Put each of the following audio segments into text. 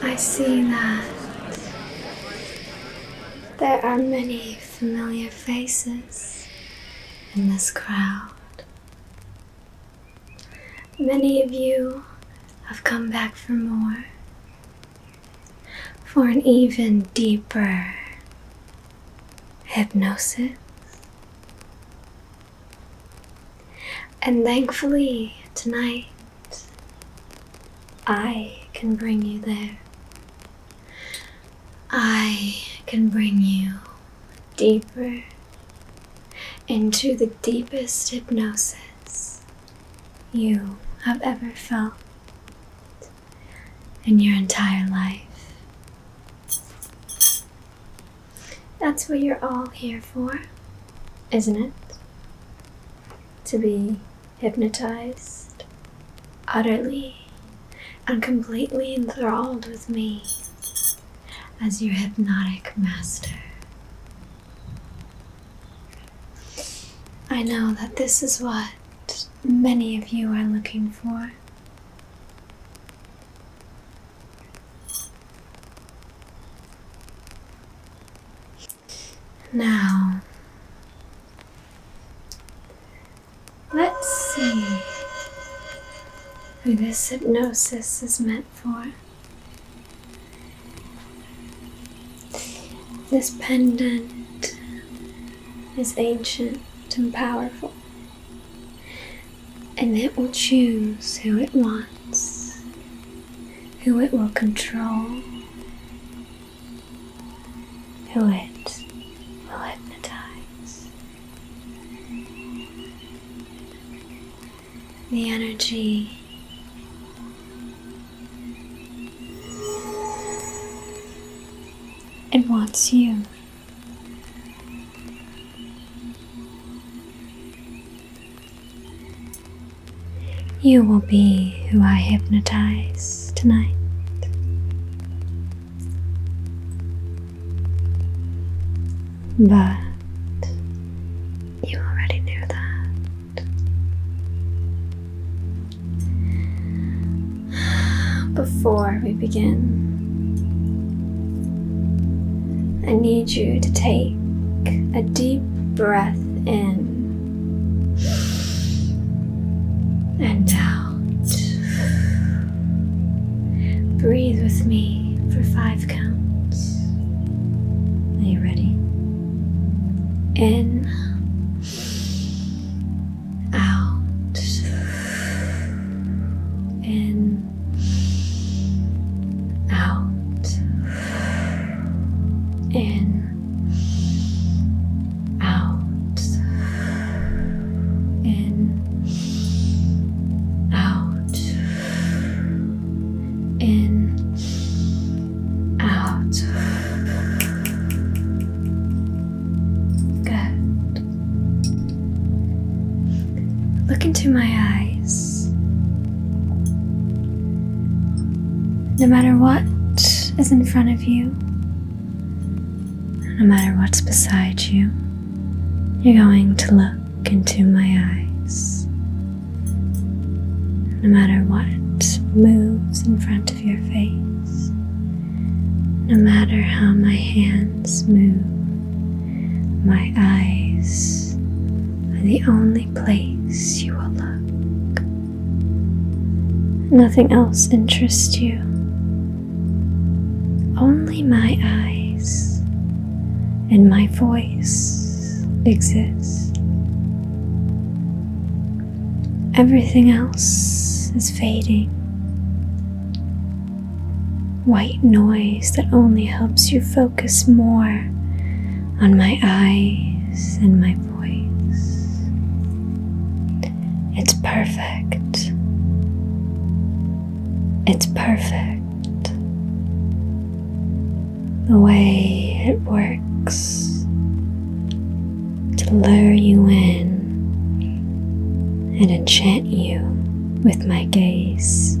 I see that there are many familiar faces in this crowd. Many of you have come back for more for an even deeper hypnosis. And thankfully, tonight I can bring you there. I can bring you deeper into the deepest hypnosis you have ever felt in your entire life. That's what you're all here for, isn't it? To be hypnotized, utterly and completely enthralled with me as your hypnotic master. I know that this is what many of you are looking for. Now, let's see who this hypnosis is meant for. This pendant is ancient and powerful, and it will choose who it wants, who it will control, who it will hypnotize. The energy it wants you. You will be who I hypnotize tonight. But you already knew that. Before we begin, I need you to take a deep breath in and out. Breathe with me for five counts. Are you ready? In out, in, out, in, out, in, out, in, out. Good. Look into my eyes. No matter what is in front of you, no matter what's beside you, you're going to look into my eyes. No matter what moves in front of your face, no matter how my hands move, my eyes are the only place you will look. Nothing else interests you, only my eyes and my voice exist. Everything else is fading. White noise that only helps you focus more on my eyes and my voice. It's perfect. It's perfect. The way it works to lure you in and enchant you with my gaze.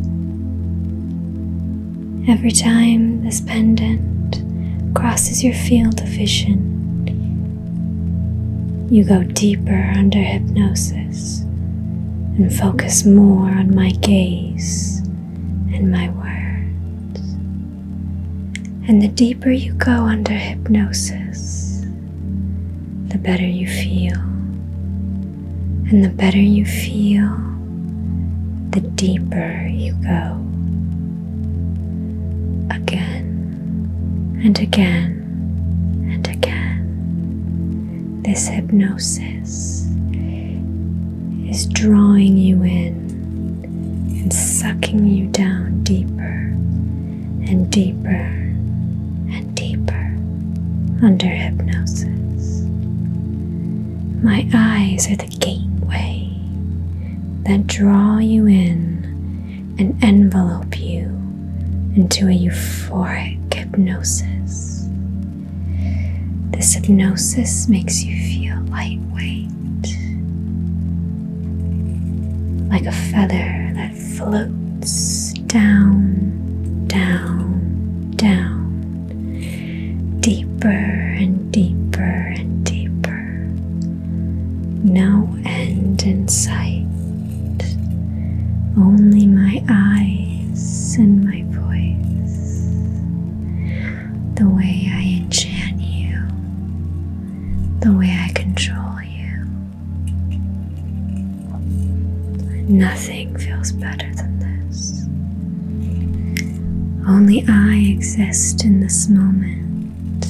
Every time this pendant crosses your field of vision, you go deeper under hypnosis and focus more on my gaze and my words. And the deeper you go under hypnosis, the better you feel. And the better you feel, the deeper you go. Again and again and again. This hypnosis is drawing you in and sucking you down deeper and deeper and deeper under hypnosis. My eyes are the gateway that draw you in and envelope you into a euphoric hypnosis. This hypnosis makes you feel lightweight like a feather that floats down, down, down, deeper and deeper and deeper. No end in sight, only my eyes and my voice. The way I enchant you, the way I control. Nothing feels better than this. Only I exist in this moment.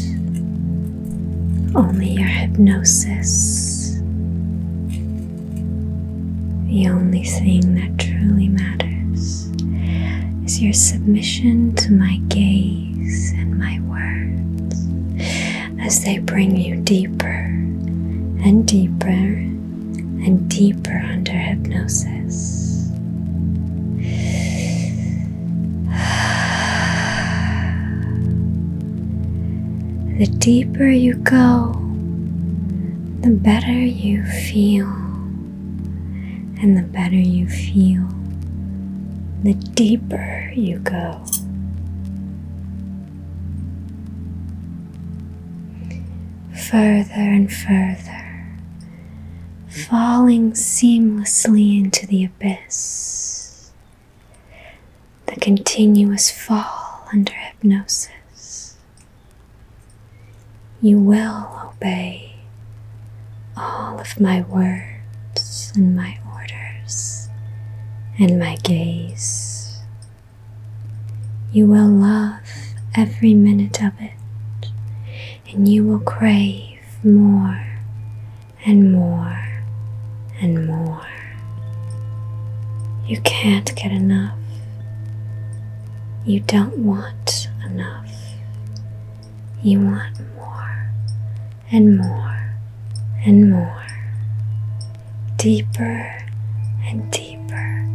Only your hypnosis. The only thing that truly matters is your submission to my gaze and my words as they bring you deeper and deeper and deeper under hypnosis. The deeper you go, the better you feel. And the better you feel, the deeper you go. Further and further, falling seamlessly into the abyss. The continuous fall under hypnosis. You will obey all of my words and my orders and my gaze. You will love every minute of it, and you will crave more and more and more. You can't get enough. You don't want enough. You want more and more and more, deeper and deeper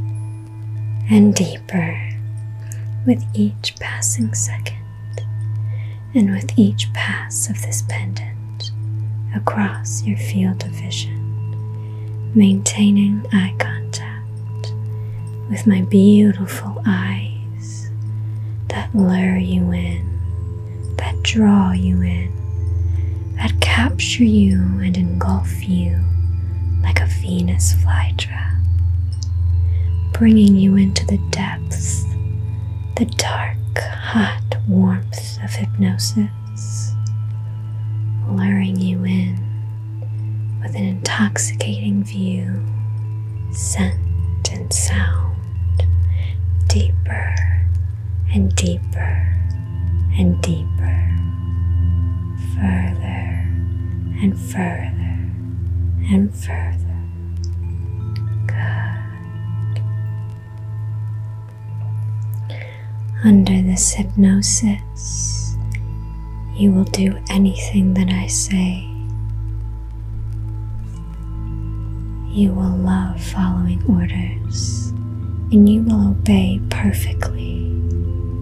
and deeper with each passing second and with each pass of this pendant across your field of vision, maintaining eye contact with my beautiful eyes that lure you in, that draw you in, that capture you and engulf you like a Venus flytrap, bringing you into the depths, the dark, hot warmth of hypnosis, luring you in with an intoxicating view, scent, and sound deeper and deeper and deeper, further and further and further. Good. Under this hypnosis, you will do anything that I say. You will love following orders and you will obey perfectly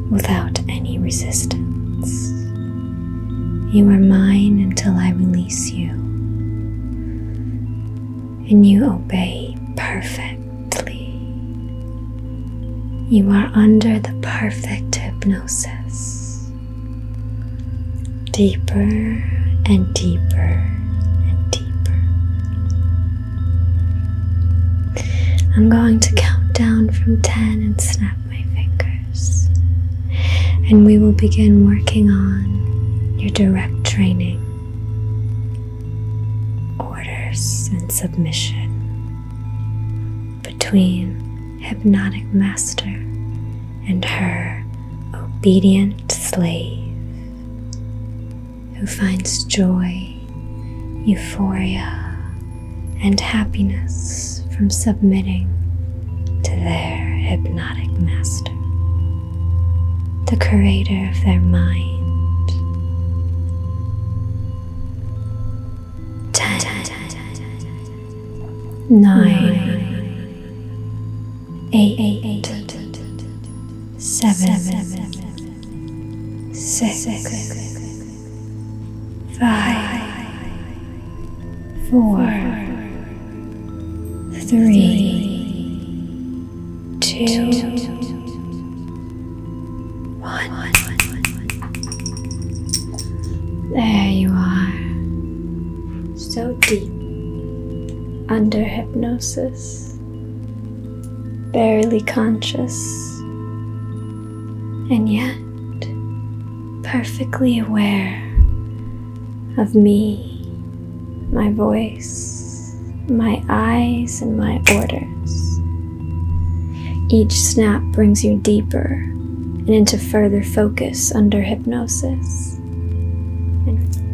without any resistance. You are mine until I release you, and you obey perfectly. You are under the perfect hypnosis deeper and deeper and deeper. I'm going to count down from 10 and snap my fingers, and we will begin working on your direct training, orders, and submission between hypnotic master and her obedient slave who finds joy, euphoria, and happiness from submitting to their hypnotic master, the creator of their mind. Ten, nine, eight, seven, six, five, four, three, two, one. There you are so deep under hypnosis, barely conscious, and yet perfectly aware of me, my voice, my eyes, and my orders. Each snap brings you deeper and into further focus under hypnosis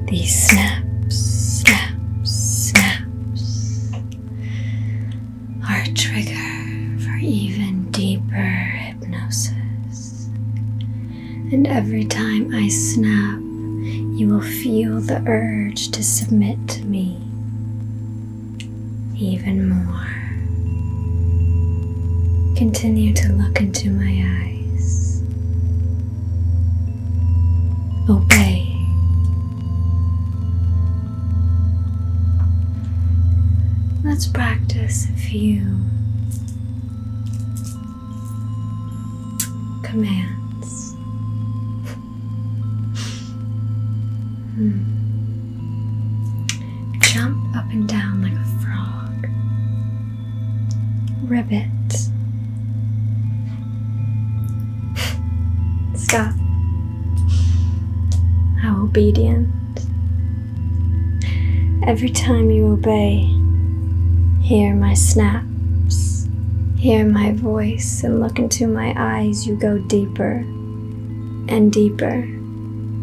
these snaps, snaps, snaps are a trigger for even deeper hypnosis. And every time I snap, you will feel the urge to submit to me even more. Continue to look into my eyes. Obey. Let's practice a few commands. Hmm. Jump up and down like a frog. Rabbit, Stop. How obedient. Every time you obey, hear my snaps, hear my voice, and look into my eyes, you go deeper and deeper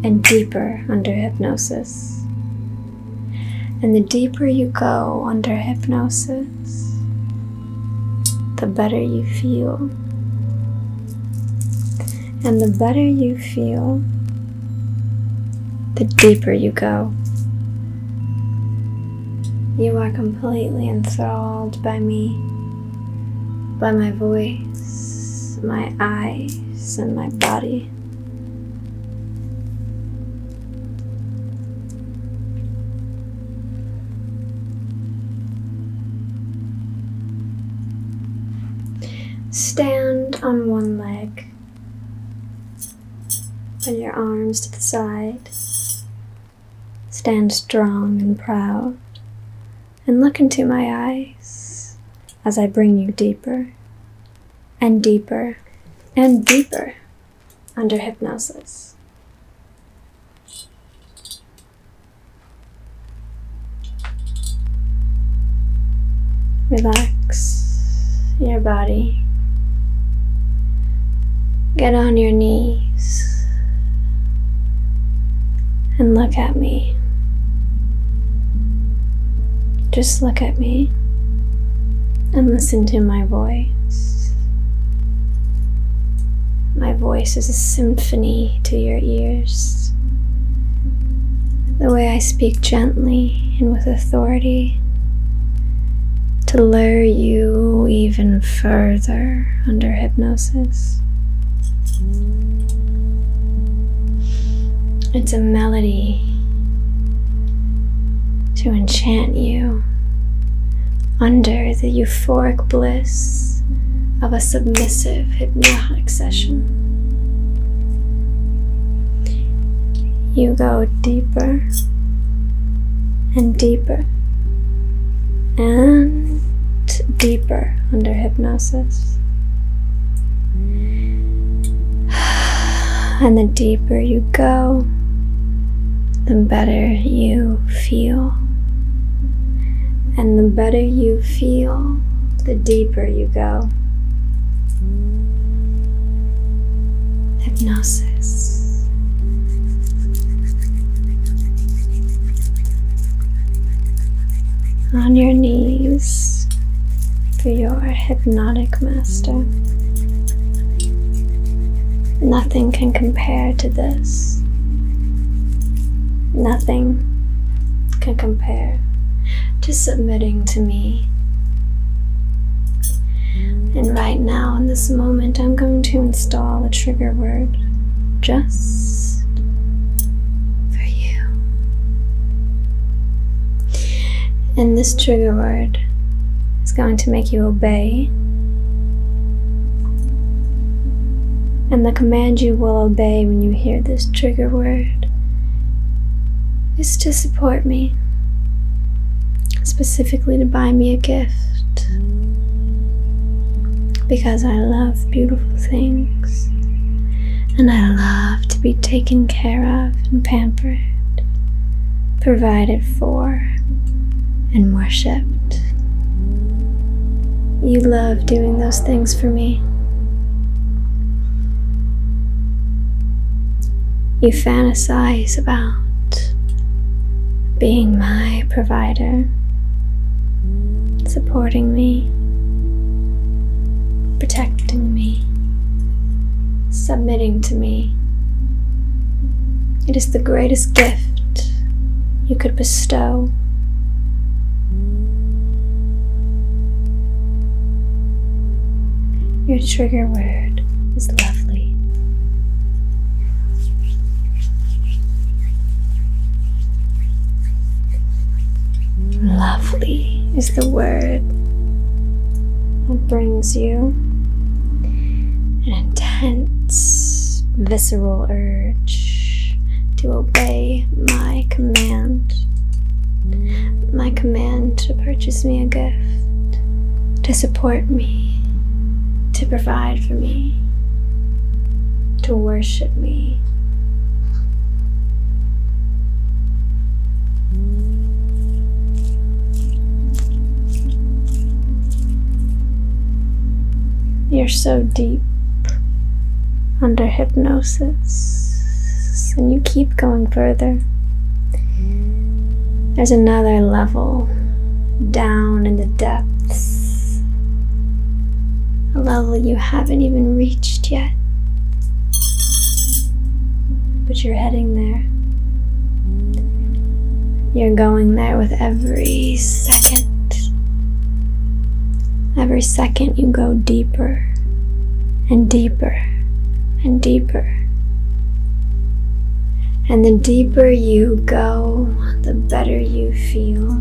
and deeper under hypnosis. And the deeper you go under hypnosis, the better you feel. And the better you feel, the deeper you go. You are completely enthralled by me, by my voice, my eyes, and my body. Stand on one leg. Bend your arms to the side. Stand strong and proud. And look into my eyes as I bring you deeper and deeper and deeper under hypnosis. Relax your body. Get on your knees and look at me. Just look at me and listen to my voice. My voice is a symphony to your ears. The way I speak gently and with authority to lure you even further under hypnosis. It's a melody to enchant you under the euphoric bliss of a submissive hypnotic session. You go deeper and deeper and deeper under hypnosis. And the deeper you go, the better you feel. And the better you feel, the deeper you go. Hypnosis. On your knees, through your hypnotic master. Nothing can compare to this. Nothing can compare to submitting to me. And right now, in this moment, I'm going to install a trigger word just for you. And this trigger word is going to make you obey. And the command you will obey when you hear this trigger word is to support me, specifically to buy me a gift. Because I love beautiful things and I love to be taken care of and pampered provided for, and worshipped. You love doing those things for me. You fantasize about being my provider, supporting me, protecting me, submitting to me. It is the greatest gift you could bestow. Your trigger word is lovely. Lovely is the word spirit that brings you an intense, visceral urge to obey my command. My command to purchase me a gift, to support me, to provide for me, to worship me. You're so deep under hypnosis, and you keep going further. There's another level down in the depths, a level you haven't even reached yet, but you're heading there. You're going there with every second. Every second you go deeper and deeper and deeper. And the deeper you go, the better you feel.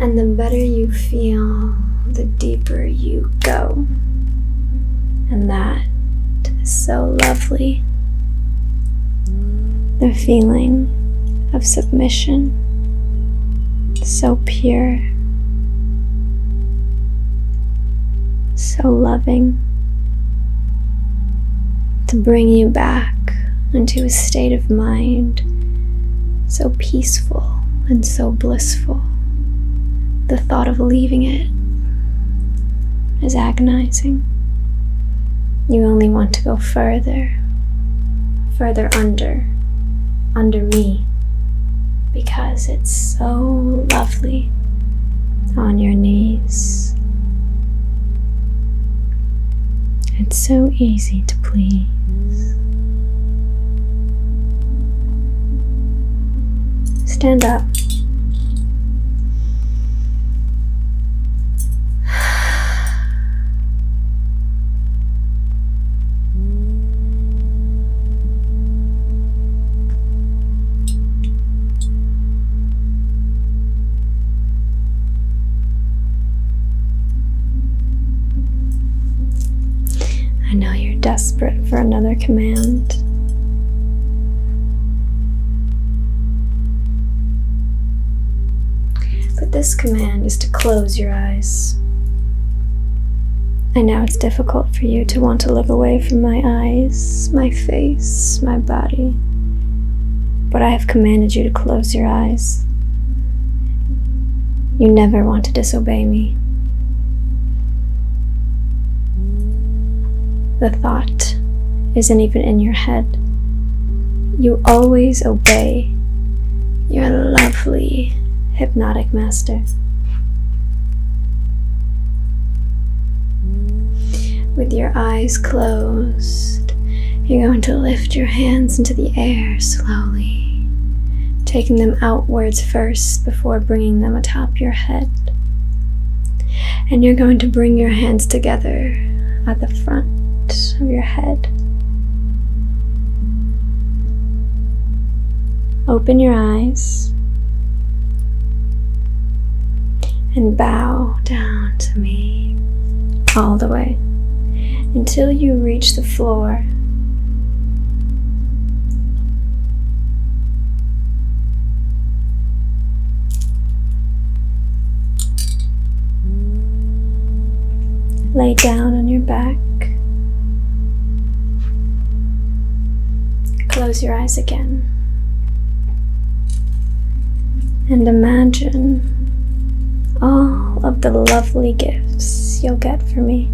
And the better you feel, the deeper you go. And that is so lovely. The feeling of submission, so pure, so loving, to bring you back into a state of mind so peaceful and so blissful. The thought of leaving it is agonizing. You only want to go further, further under, under me, because it's so lovely on your knees. It's so easy to please. Stand up. I know you're desperate for another command. But this command is to close your eyes. I know it's difficult for you to want to look away from my eyes, my face, my body, but I have commanded you to close your eyes. You never want to disobey me. The thought isn't even in your head. You always obey your lovely hypnotic master. With your eyes closed, you're going to lift your hands into the air slowly, taking them outwards first before bringing them atop your head. And you're going to bring your hands together at the front of your head. Open your eyes and bow down to me all the way until you reach the floor. Lay down on your back. Close your eyes again. And imagine all of the lovely gifts you'll get from me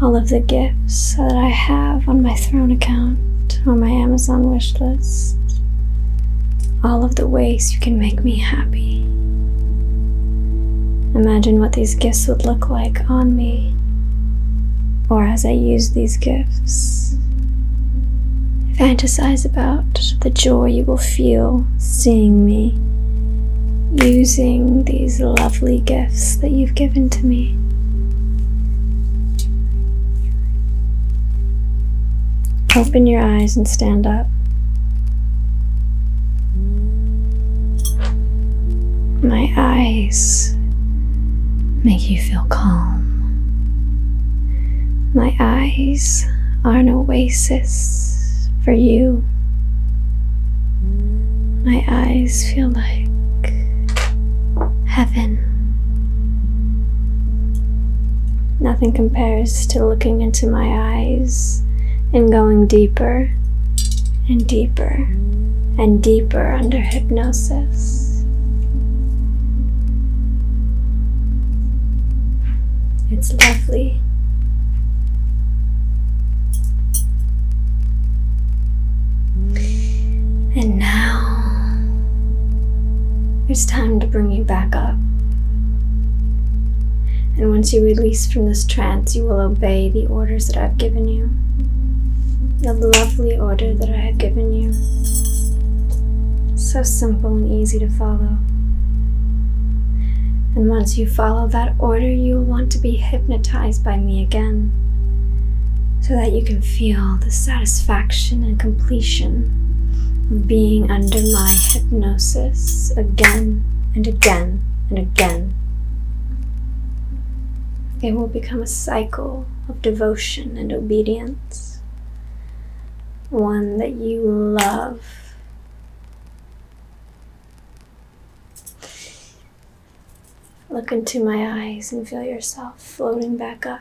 all of the gifts that I have on my Throne account, on my Amazon wish list, all of the ways you can make me happy. Imagine what these gifts would look like on me or as I use these gifts. Fantasize about the joy you will feel seeing me using these lovely gifts that you've given to me. Open your eyes and stand up. My eyes make you feel calm. My eyes are an oasis for you. My eyes feel like heaven. Nothing compares to looking into my eyes and going deeper and deeper and deeper under hypnosis. It's lovely. And now it's time to bring you back up. And once you release from this trance, you will obey the orders that I've given you. The lovely order that I have given you. So simple and easy to follow. And once you follow that order, you will want to be hit hypnotized by me again, so that you can feel the satisfaction and completion of being under my hypnosis again and again and again. It will become a cycle of devotion and obedience, one that you love. Look into my eyes and feel yourself floating back up.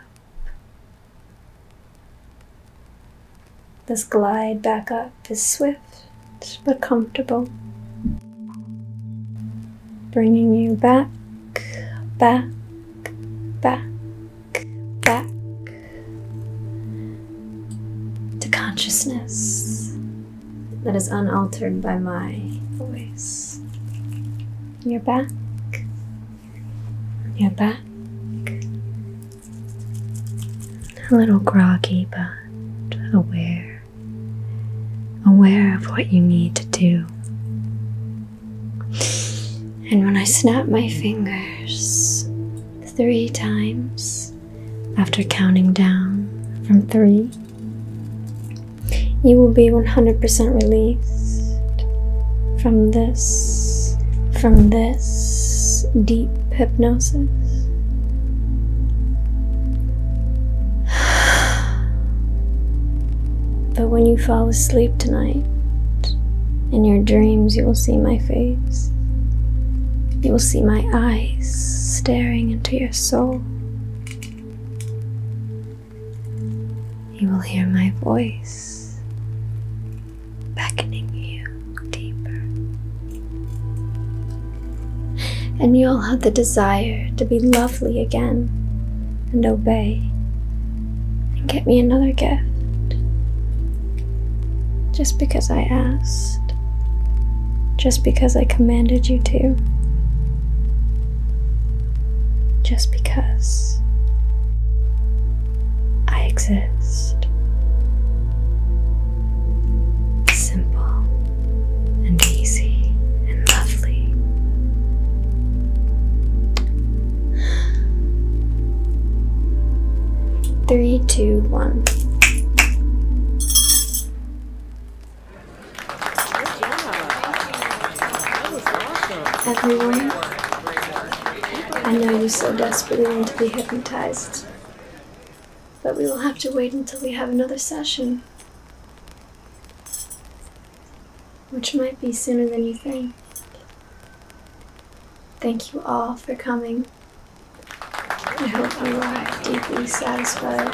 This glide back up is swift but comfortable, bringing you back, back, back, back to consciousness that is unaltered by my voice. Your back, your back. A little groggy, but aware. Aware of what you need to do. And when I snap my fingers three times after counting down from three, you will be 100% released from this, from this deep hypnosis. But when you fall asleep tonight, in your dreams, you will see my face. You will see my eyes staring into your soul. You will hear my voice beckoning you deeper. And you'll have the desire to be lovely again and obey and get me another gift just because I asked, just because I commanded you to just because I exist. Simple and easy and lovely. Three, two, one. Everyone, I know you so desperately want to be hypnotized, but we will have to wait until we have another session. Which might be sooner than you think. Thank you all for coming. I hope you are deeply satisfied.